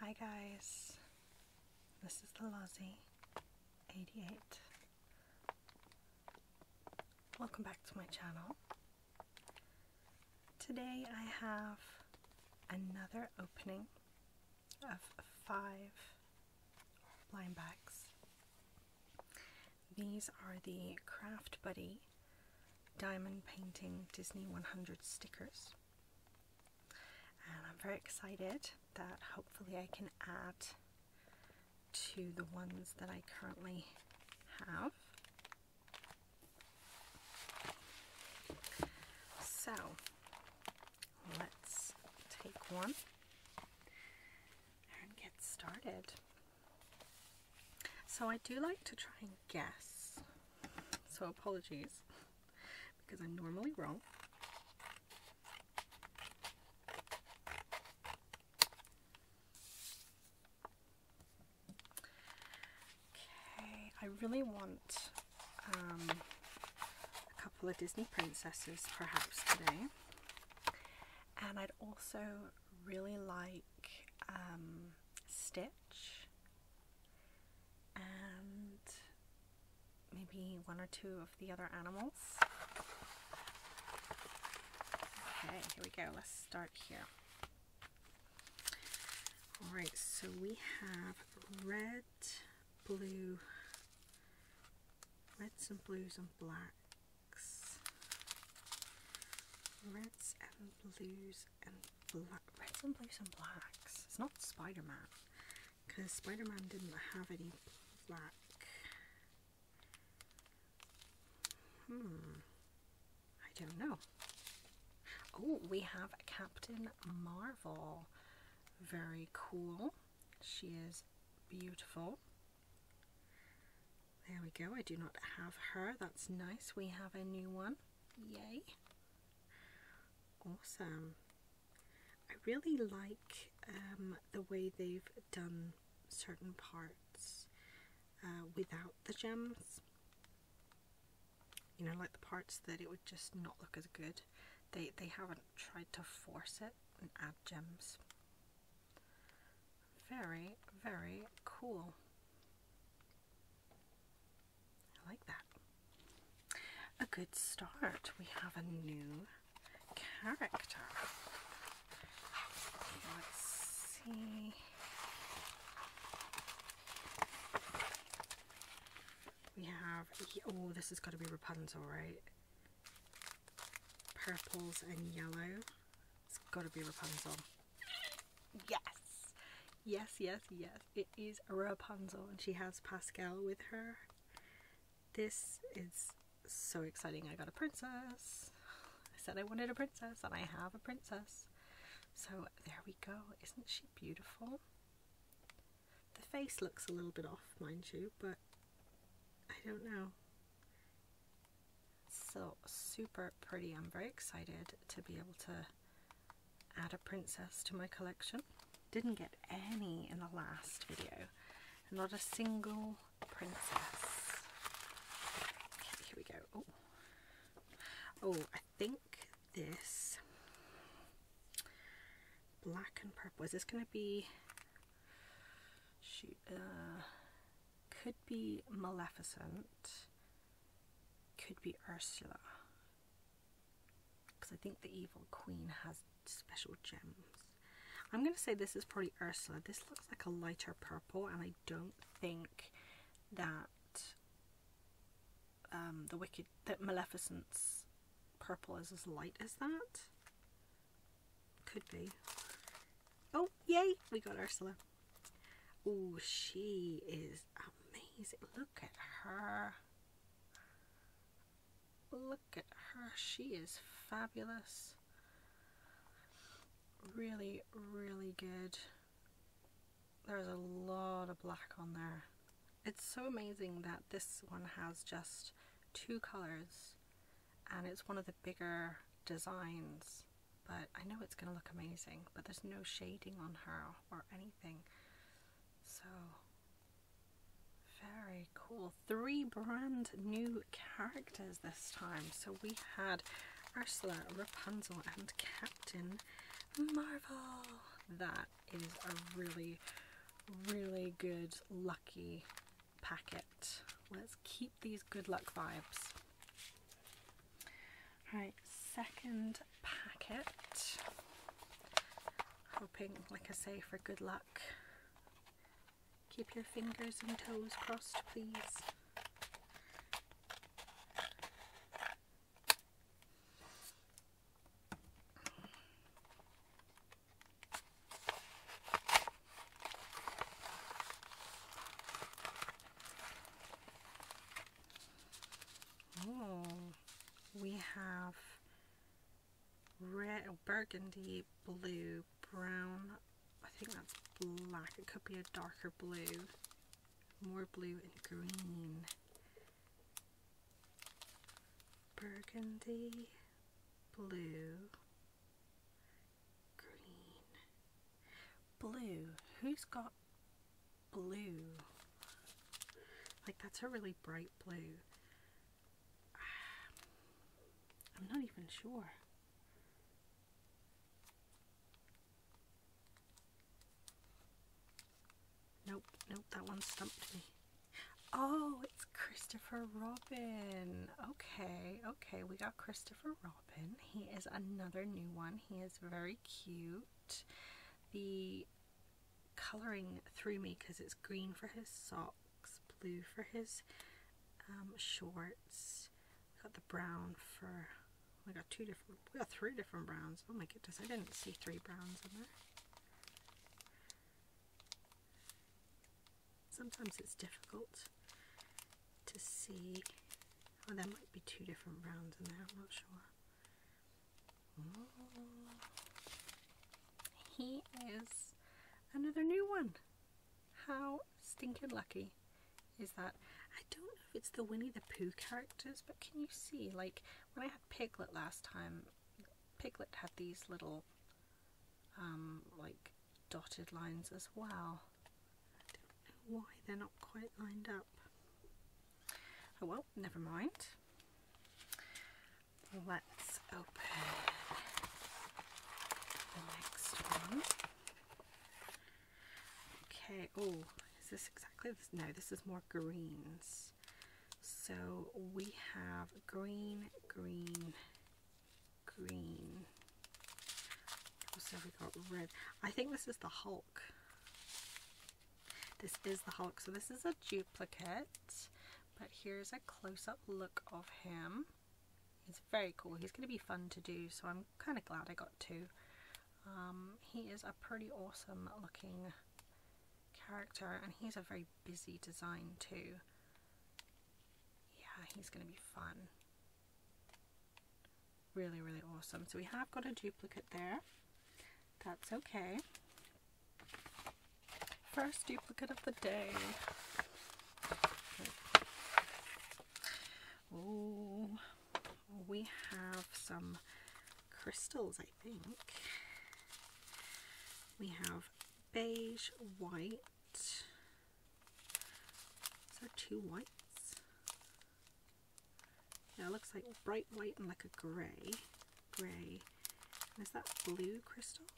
Hi guys, this is the Lozzie 88. Welcome back to my channel. Today I have another opening of five blind bags. These are the Craft Buddy Diamond Painting Disney 100 stickers and I'm very excited that hopefully I can add to the ones that I currently have. So let's take one and get started. So I do like to try and guess so apologies because I'm normally wrong. Okay, I really want um, a couple of Disney princesses perhaps today. And I'd also really like um, Stitch and maybe one or two of the other animals. Okay, here we go. Let's start here. All right, so we have red, blue, reds and blues and blacks, reds and blues and reds and blues and blacks. It's not Spider-Man. Because Spider-Man didn't have any black. Hmm. I don't know. Oh, we have Captain Marvel. Very cool. She is beautiful. There we go. I do not have her. That's nice. We have a new one. Yay. Awesome. I really like um, the way they've done certain parts uh, without the gems. You know, like the parts that it would just not look as good. They, they haven't tried to force it and add gems. Very, very cool. I like that. A good start. We have a new character. Let's see. We have, oh, this has got to be Rapunzel, right? Purples and yellow. It's got to be Rapunzel. Yes. Yes, yes, yes. It is Rapunzel and she has Pascal with her. This is so exciting. I got a princess. I said I wanted a princess and I have a princess. So there we go. Isn't she beautiful? The face looks a little bit off, mind you, but I don't know. So super pretty. I'm very excited to be able to add a princess to my collection. Didn't get any in the last video. Not a single princess. here we go. Oh, I think this black and purple. Is this going to be... Shoot. Uh, could be Maleficent could be Ursula. Because I think the evil queen has special gems. I'm going to say this is probably Ursula. This looks like a lighter purple and I don't think that um, the Wicked, that Maleficent's purple is as light as that. Could be. Oh, yay! We got Ursula. Oh, she is amazing. Look at her. Look at her. She is fabulous. Really, really good. There's a lot of black on there. It's so amazing that this one has just two colours and it's one of the bigger designs but I know it's going to look amazing. But there's no shading on her or anything. So, very cool. Three brand new characters this time. So, we had Ursula, Rapunzel, and Captain Marvel. That is a really, really good, lucky packet. Let's keep these good luck vibes. Right, second packet. Hoping, like I say, for good luck. Keep your fingers and toes crossed, please. Oh, we have red, burgundy, blue, brown. I think that's black. It could be a darker blue. More blue and green. Burgundy, blue, green. Blue. Who's got blue. Like that's a really bright blue. I'm not even sure. Nope, nope, that one stumped me. Oh, it's Christopher Robin. Okay, okay, we got Christopher Robin. He is another new one. He is very cute. The colouring through me because it's green for his socks, blue for his um, shorts. got the brown for, we got two different, we got three different browns. Oh my goodness, I didn't see three browns in there. Sometimes it's difficult to see Oh, there might be two different rounds in there, I'm not sure. He is another new one. How stinking lucky is that? I don't know if it's the Winnie the Pooh characters, but can you see? Like, when I had Piglet last time, Piglet had these little, um, like, dotted lines as well. I don't know why they're not quite lined up. Oh well, never mind. Let's open the next one. Okay, oh, is this exactly this? No, this is more greens. So we have green, green, green. Also, we got red. I think this is the Hulk. This is the Hulk, so this is a duplicate, but here's a close-up look of him. He's very cool. He's going to be fun to do, so I'm kind of glad I got two. Um, he is a pretty awesome looking character, and he's a very busy design too. Yeah, he's going to be fun. Really, really awesome. So we have got a duplicate there. That's okay. First duplicate of the day. Oh, we have some crystals, I think. We have beige, white. So two whites. Now it looks like bright white and like a grey. Grey. is that blue crystals?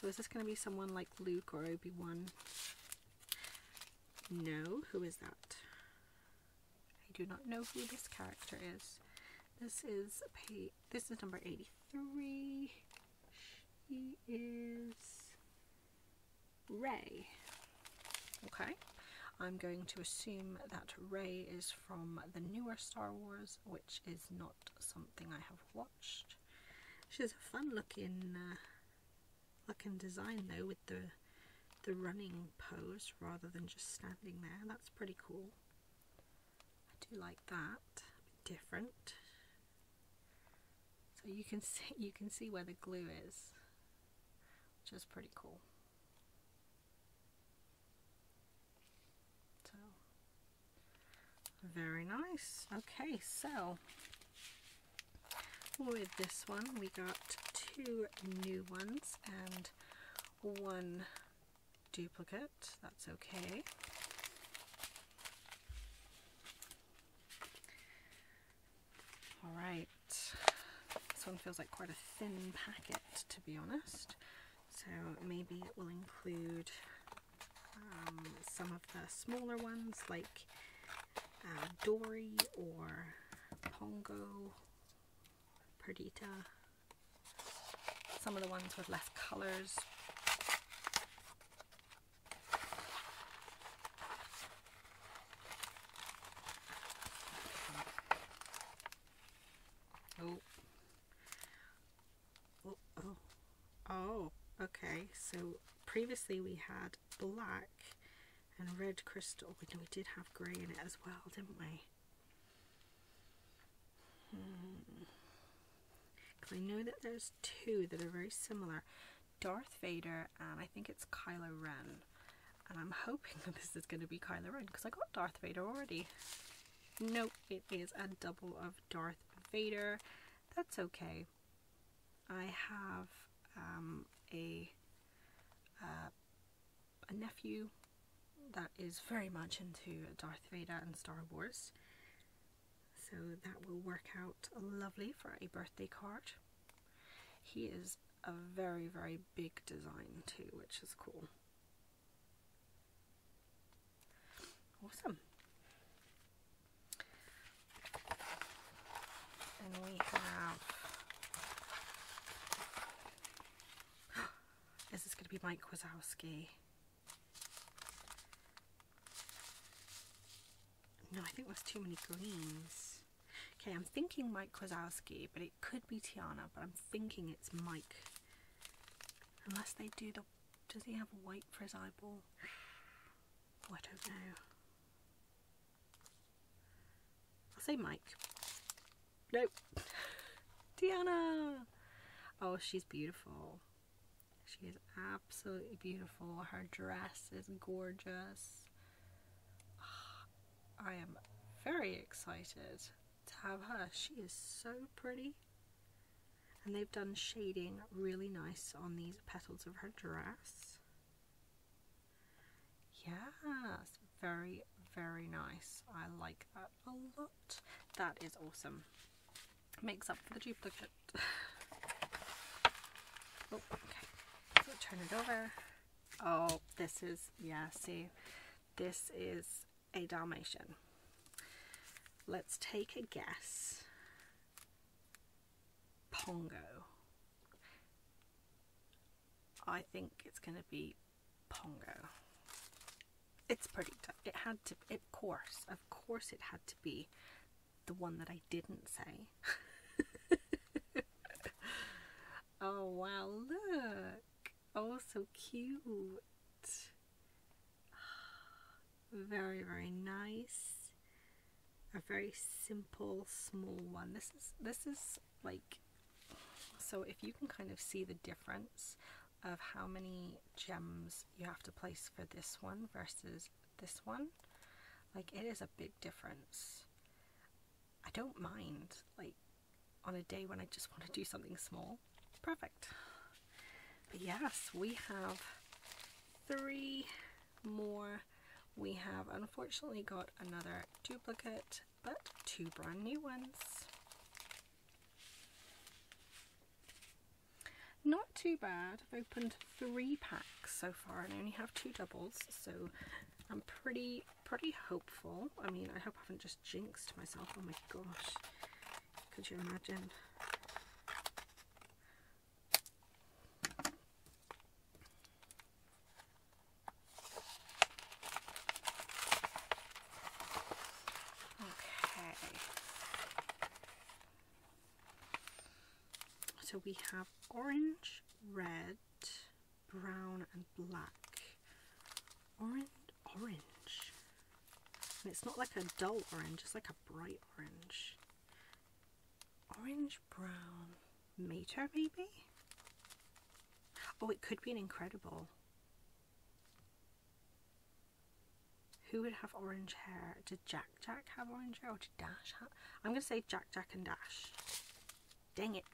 So is this going to be someone like Luke or Obi-Wan? No. Who is that? I do not know who this character is. This is pay this is number 83. She is Ray. Okay, I'm going to assume that Ray is from the newer Star Wars, which is not something I have watched. She has a fun looking uh, looking design though with the the running pose rather than just standing there. That's pretty cool. I do like that. different. So you can see you can see where the glue is, which is pretty cool. So very nice. Okay, so with this one we got two new ones and one duplicate. That's okay. All right, this one feels like quite a thin packet to be honest. So maybe it will include um, some of the smaller ones like uh, Dory or Pongo, Perdita, some of the ones with less colors. Oh. oh. oh. Oh, okay. So previously we had black and red crystal. we did have grey in it as well, didn't we? Hmm. I know that there's two that are very similar. Darth Vader, and I think it's Kylo Ren. And I'm hoping that this is going to be Kylo Ren because I got Darth Vader already. No, it is a double of Darth Vader. That's okay. I have um, a uh, a nephew that is very much into Darth Vader and Star Wars. So that will work out lovely for a birthday card. He is a very, very big design too, which is cool. Awesome. And we have. is this going to be Mike Wazowski? No, I think there's too many greens. Okay, I'm thinking Mike Krasowski, but it could be Tiana, but I'm thinking it's Mike. Unless they do the... Does he have white for his eyeball? Oh, I don't know. I'll say Mike. Nope. Tiana! Oh, she's beautiful. She is absolutely beautiful. Her dress is gorgeous. Ah, I am very excited to have her. She is so pretty. And they've done shading really nice on these petals of her dress. Yes, very, very nice. I like that a lot. That is awesome. Makes up for the duplicate. Oh, okay. turn it over. Oh, this is, yeah, see, this is a Dalmatian. Let's take a guess. Pongo. I think it's going to be Pongo. It's pretty tough. It had to, of course, of course it had to be the one that I didn't say. oh wow, look! Oh, so cute. Very, very nice. A very simple, small one. This is this is like so if you can kind of see the difference of how many gems you have to place for this one versus this one. Like, it is a big difference. I don't mind, like, on a day when I just want to do something small. Perfect. But yes, we have three more. We have unfortunately got another duplicate, but two brand new ones. Not too bad. I've opened three packs so far and I only have two doubles, so I'm pretty, pretty hopeful. I mean, I hope I haven't just jinxed myself. Oh my gosh, could you imagine? So we have orange, red, brown and black. Orange, orange. And it's not like a dull orange, it's like a bright orange. Orange, brown, mater maybe? Oh, it could be an incredible. Who would have orange hair? Did Jack Jack have orange hair or did Dash have? I'm going to say Jack Jack and Dash. Dang it.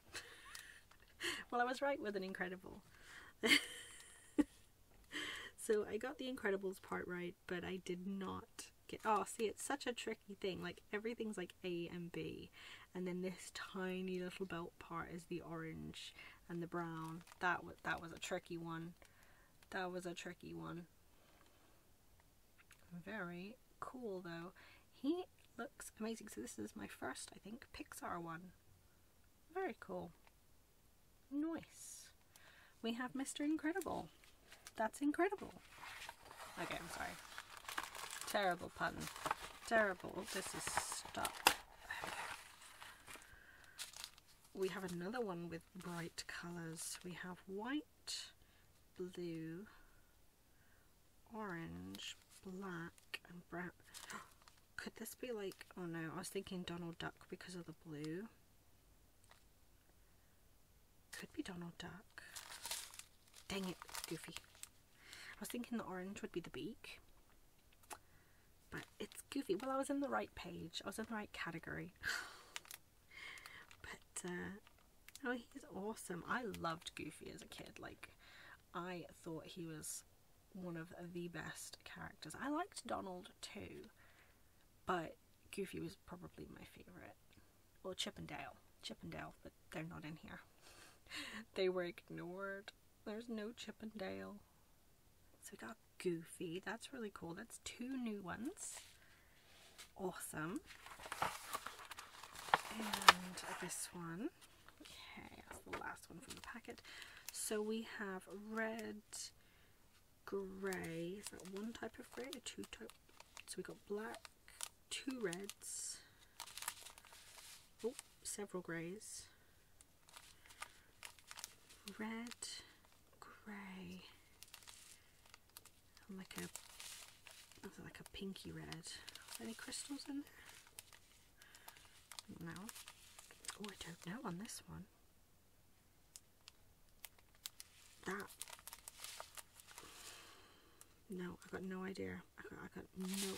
well, I was right with an Incredible. so I got the Incredibles part right, but I did not get... Oh, see, it's such a tricky thing. Like, everything's like A and B. And then this tiny little belt part is the orange and the brown. That, was that was a tricky one. That was a tricky one. Very cool though. He looks amazing. So this is my first, I think, Pixar one. Very cool. Nice. We have Mr. Incredible. That's incredible. Okay, I'm sorry. Terrible pun. Terrible. This is stuck. We have another one with bright colours. We have white blue, orange, black, and brown. Could this be like, oh no, I was thinking Donald Duck because of the blue. Could be Donald Duck. Dang it, Goofy. I was thinking the orange would be the beak, but it's Goofy. Well, I was in the right page. I was in the right category. But uh, oh, he's awesome. I loved Goofy as a kid. Like, I thought he was one of the best characters. I liked Donald too, but Goofy was probably my favorite. Or well, Chippendale. Chippendale, but they're not in here. they were ignored. There's no Chippendale. So we got Goofy. That's really cool. That's two new ones awesome. And this one, okay, that's the last one from the packet. So we have red, grey, is that one type of grey or two types? So we got black, two reds, oh, several greys, red, grey and like a like a pinky red. Any crystals in there? No. Oh, I don't know on this one. That. No, I've got no idea. I got no.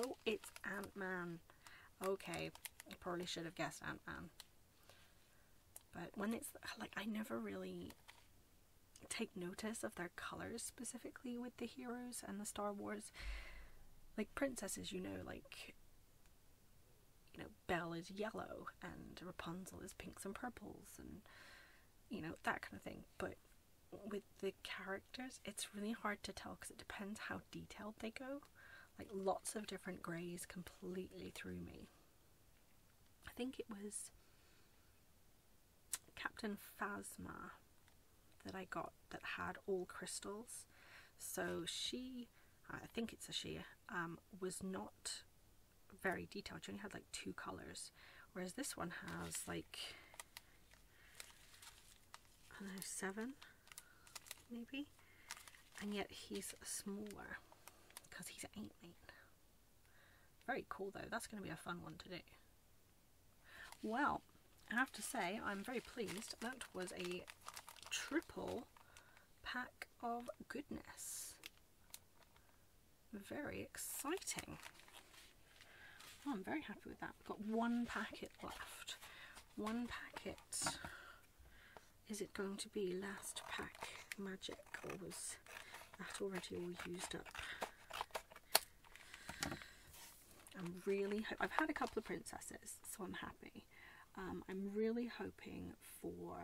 Oh, it's Ant Man. Okay, I probably should have guessed Ant Man. But when it's like I never really take notice of their colors specifically with the heroes and the Star Wars. Like princesses, you know, like you know, Belle is yellow and Rapunzel is pinks and purples and you know, that kind of thing. But with the characters, it's really hard to tell because it depends how detailed they go. Like lots of different greys completely threw me. I think it was Captain Phasma that I got that had all crystals. So she, I think it's a she, um, was not very detailed. She only had like two colours. Whereas this one has like, I don't know, seven maybe? And yet he's smaller because he's eight, mate. Very cool though. That's going to be a fun one to do. Well, I have to say I'm very pleased. That was a triple pack of goodness. Very exciting. I'm very happy with that. got one packet left. One packet is it going to be last pack magic or was that already all used up? I'm really, I've had a couple of princesses, so I'm happy. Um, I'm really hoping for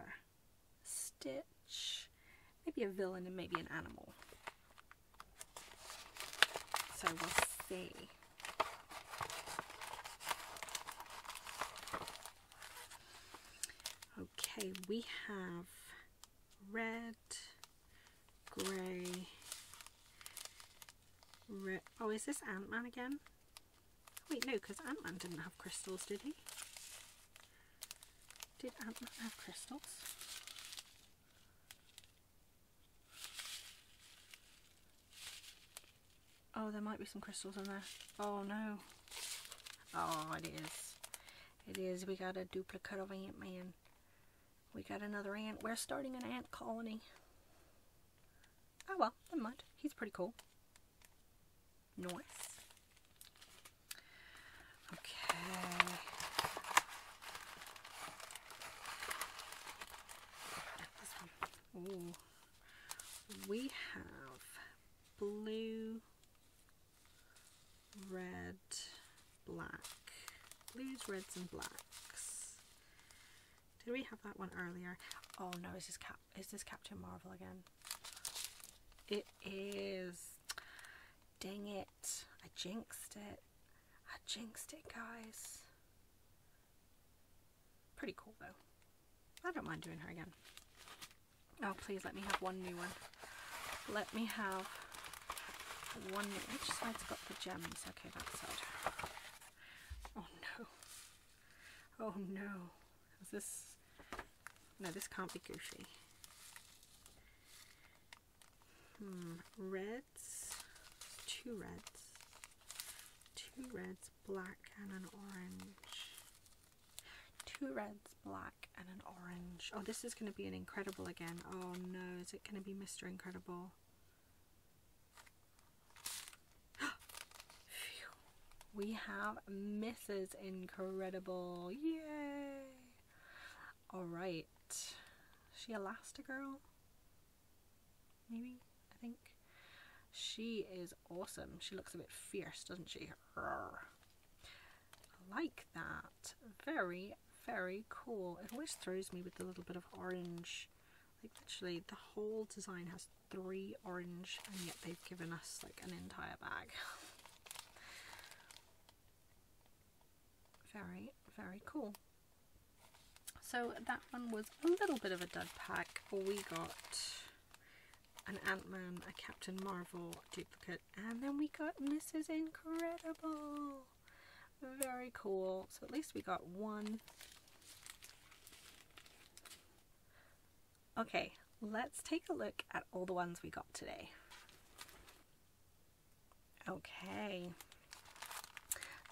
Stitch, maybe a villain and maybe an animal. So we'll see. Okay, we have red, grey, Oh, is this Ant-Man again? Wait, no, because Ant-Man didn't have crystals, did he? Did Ant-Man have crystals? Oh, there might be some crystals in there. Oh, no. Oh, it is. It is. We got a duplicate of Ant-Man. We got another ant. We're starting an ant colony. Oh, well. the mind. He's pretty cool. Nice. Okay. Ooh. We have blue, red, black. Blues, reds and blacks. Did we have that one earlier? Oh no, is this, Cap is this Captain Marvel again? It is. Dang it. I jinxed it. I jinxed it, guys. Pretty cool though. I don't mind doing her again. Oh, please let me have one new one. Let me have one Which side's got the gems? Okay, that side. Oh no. Oh no. this... No, this can't be Goofy. Hmm. Reds. Two reds. Two reds, black and an orange. Two reds, black, and an orange. Oh, this is going to be an incredible again. Oh no, is it going to be Mr. Incredible? We have Mrs. Incredible. Yay! Alright. Is she Elastigirl? Maybe? I think. She is awesome. She looks a bit fierce, doesn't she? like that. Very, very cool. It always throws me with a little bit of orange. Like literally the whole design has three orange and yet they've given us like an entire bag. very, very cool. So that one was a little bit of a dud pack. We got an Ant-Man, a Captain Marvel duplicate, and then we got Mrs. Incredible. Very cool. So at least we got one. Okay, let's take a look at all the ones we got today. Okay.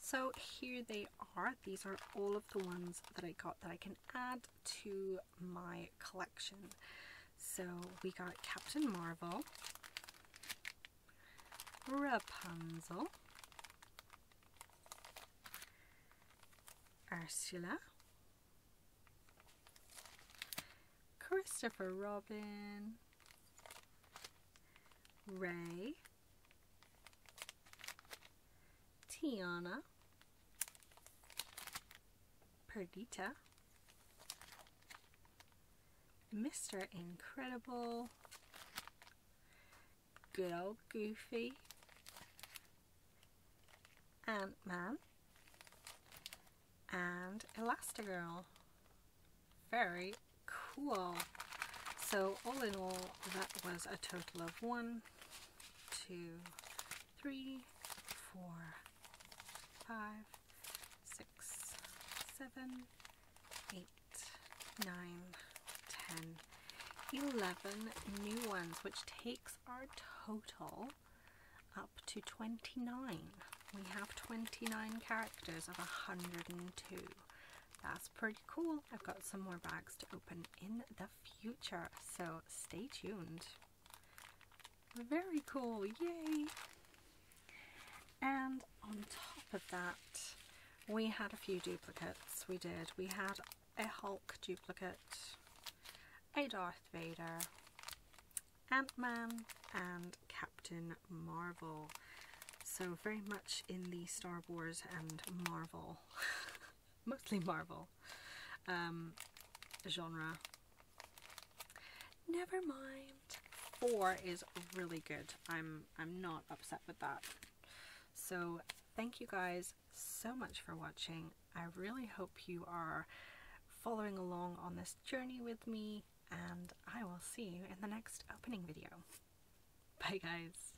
So here they are. These are all of the ones that I got that I can add to my collection. So we got Captain Marvel, Rapunzel, Ursula, Christopher Robin, Ray, Tiana, Perdita, Mr. Incredible, good old Goofy, Ant-Man, and Elastigirl. Very cool. So all in all, that was a total of one, two, three, four, five, six, seven, eight, nine, ten, eleven new ones, which takes our total up to 29. We have 29 characters of 102. That's pretty cool. I've got some more bags to open in the future. So stay tuned. Very cool, yay! And on top of that, we had a few duplicates. We did. We had a Hulk duplicate, a Darth Vader, Ant-Man, and Captain Marvel. So very much in the Star Wars and Marvel mostly Marvel um, genre. Never mind. Four is really good. I'm I'm not upset with that. So thank you guys so much for watching. I really hope you are following along on this journey with me and I will see you in the next opening video. Bye guys!